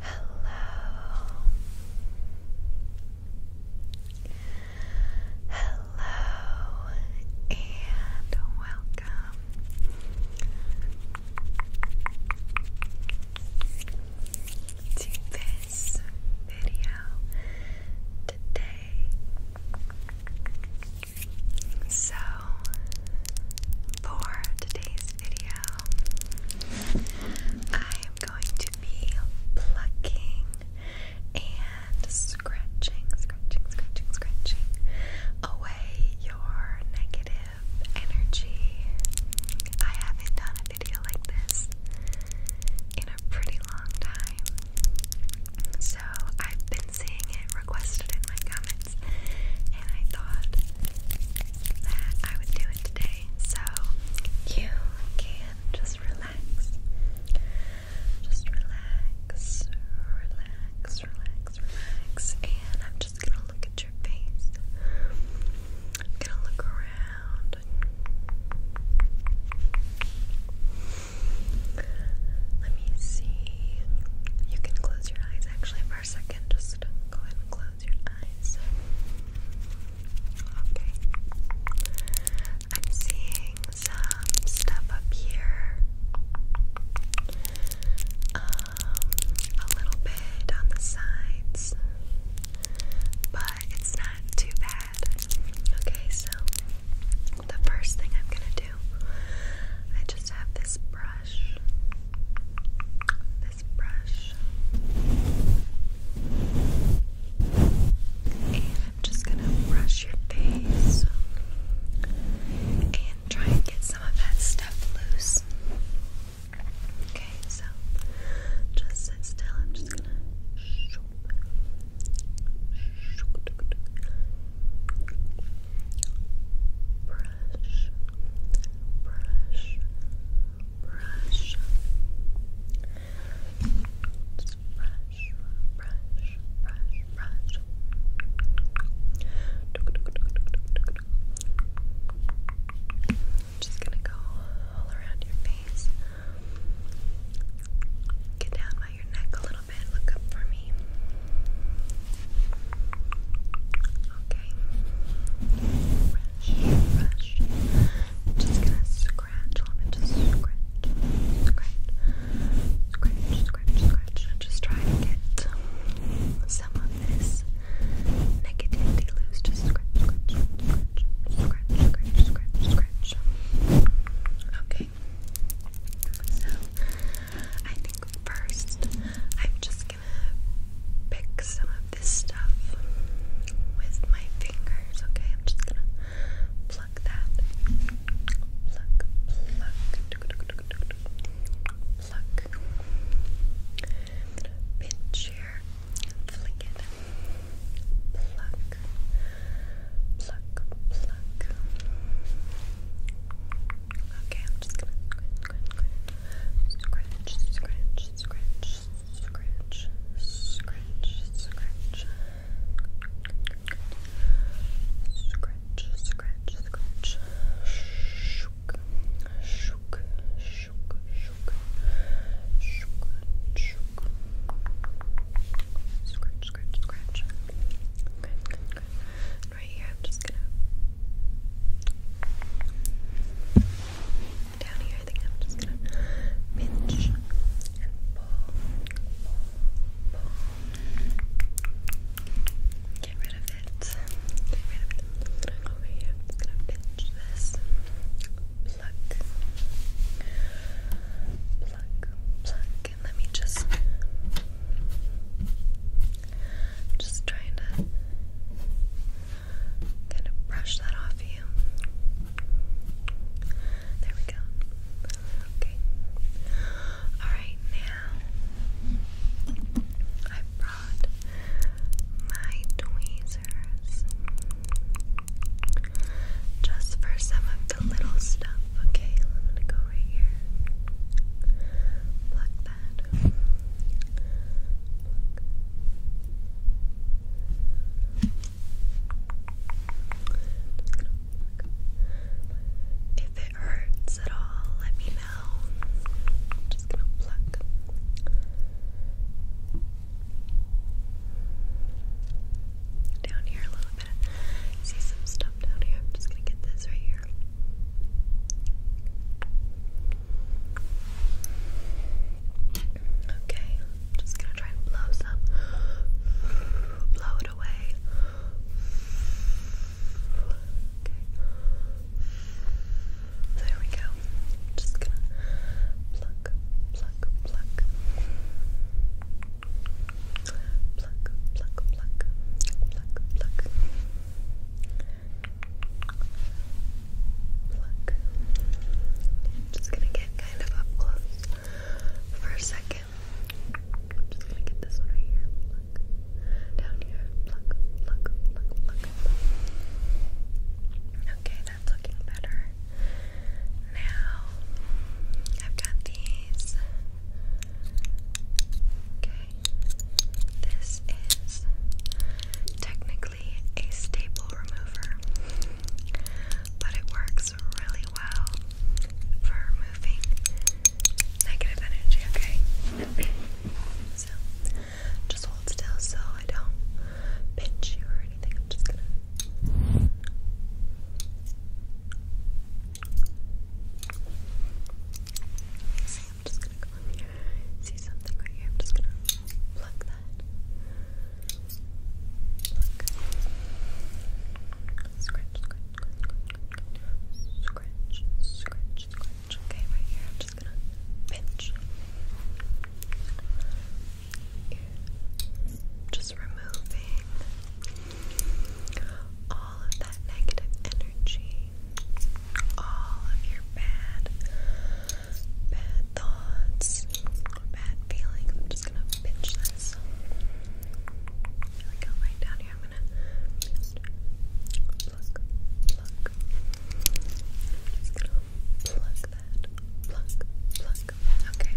Hello. Hello and welcome. To this video today. So, for today's video, I am going to be plucking and scratching, scratching, scratching, scratching away your negative energy. I haven't done a video like this in a pretty long time. So I've been seeing it requested in my comment and I thought that I would do it today so you can just relax. Just relax, relax, relax, relax, and I'm just gonna look at your face. I'm gonna look around. Let me see. You can close your eyes actually for a second, just go ahead and close your eyes. Okay. I'm seeing some stuff up here. Um, a little bit on the sides, but it's not too bad. Okay, so the first thing I'm gonna do, I just have this brush brush. This brush. And I'm just gonna brush your face and try and get some of that stuff loose. Okay, so just sit still. I'm just gonna brush, brush, brush. Just brush, brush, brush, brush. Just gonna go all around your face. Get down by your neck a little bit. Look up for me. Okay. Brush, brush. Just gonna scratch on it. Just scratch, scratch, scratch, scratch, scratch. And just try to get some of this negativity loose. Just scratch, scratch, scratch, scratch, scratch, scratch, scratch. Okay. So I think first I'm just just gonna pick some of this stuff with my fingers, okay? I'm just gonna pluck that. Pluck, pluck, pluck. Pinch here, flick it. pluck, pluck. Pluck, Okay, I'm just gonna scratch, scratch, scratch, scratch, scratch, scratch, scratch. Scratch, scratch, scratch. Shook, shook, shook, shook, shook, shook. Scratch, scratch, scratch. Good, good, good right here. I'm just gonna down here. I think I'm just gonna pinch and pull, pull, pull. Get rid of it. over here. I'm just gonna pinch this. Pluck, pluck, pluck, and let me just. I'm just trying to kind of brush that off you. There we go. Okay. Alright, now I brought my tweezers just for some of the little stuff up. Okay, I'm gonna go right here. Pluck that. If it hurts at all, let me know. I'm just gonna pluck. Down here a little bit. See some stuff down here. I'm just gonna get this right here. Okay, i just gonna try and blow some, blow it away. Okay, there we go. just gonna pluck, pluck, pluck pluck, pluck, pluck, pluck, pluck, pluck. just gonna get kind of up close for a second. I'm just gonna get this one right here. Pluck. Down here. Pluck, pluck, pluck, pluck. Okay, that's looking better. Now I've got these Okay. This is technically a staple remover, but it works really well for removing negative energy, okay? so, just hold still so I don't pinch you or anything. I'm just gonna. See, I'm just gonna go See something right here. just gonna pluck that. Pluck. Scratch, scratch, scratch, scratch, scratch, Okay, right here. I'm just gonna pinch. Just removing all of that negative energy, all of your bad, bad thoughts, bad feelings. I'm just gonna pinch this. Really go right down here. I'm gonna just pluck, pluck. I'm just gonna pluck that, pluck, pluck. Okay.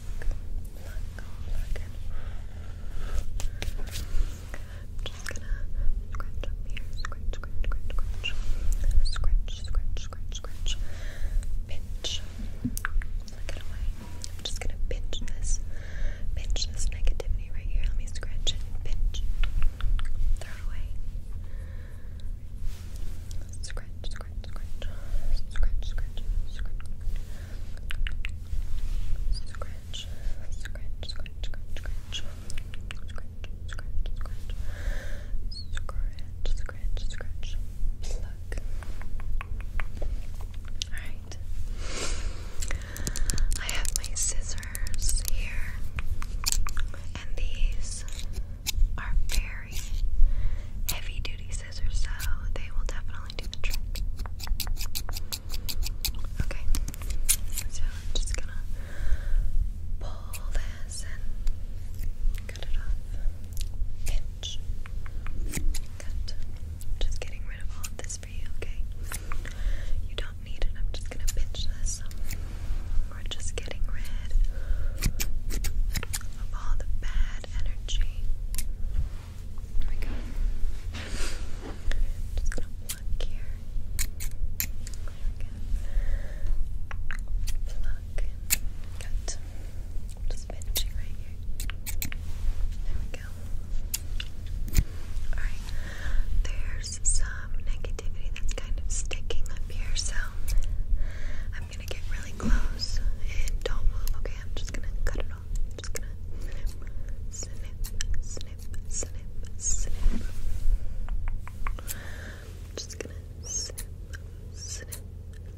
I'm just gonna scratch here, scratch, scratch, scratch, scratch, scratch, scratch, scratch, scratch, pinch, look it away. I'm just gonna pinch this, pinch this negativity right here. Let me scratch and pinch, throw away. Scratch, scratch, scratch, scratch, scratch, scratch, scratch, scratch, scratch, scratch, scratch, scratch, scratch, scratch, scratch, scratch, Alright. I have my scissors here and these are very heavy duty scissors, so they will definitely do the trick. Okay, so I'm just gonna pull this and cut it off. Pinch. Cut. Just getting rid of all this for you, okay? You don't need it. I'm just gonna pinch this. We're just getting rid of all the bad bad energy. There we go. Just gonna pluck here. There we just pinching right here. There we go. Alright. There's some negativity that's kind of sticking up here, so I'm gonna get really close and don't move, okay? I'm just gonna cut it off. I'm just gonna snip, snip, snip, snip, snip. I'm just gonna snip, snip,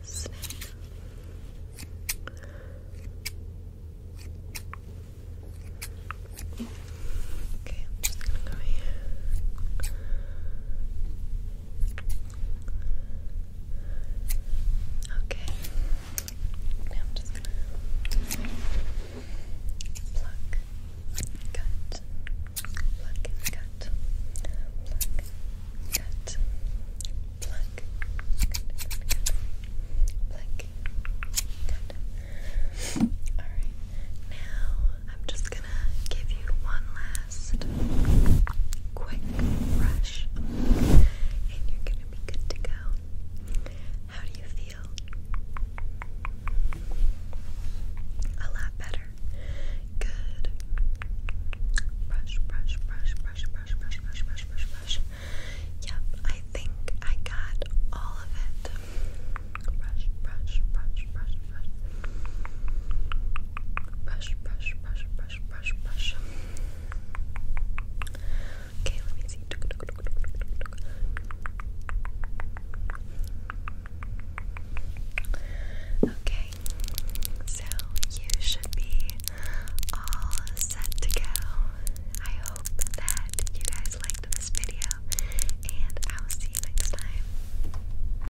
snip. Okay, I'm just gonna go here. Okay. Now I'm just gonna pluck, cut, pluck, cut, pluck, cut, pluck, pluck, cut. All right. Now I'm just gonna give you one last quick brush, and you're gonna be good to go. How do you feel? A lot better. Good. Brush, brush, brush, brush, brush, brush, brush, brush, brush, Yep, I think I got all of it. Brush, brush, brush, brush, brush brush, brush, brush, brush, brush, brush. Okay, let me see. Okay, so you should be all set to go. I hope that you guys liked this video, and I will see you next time.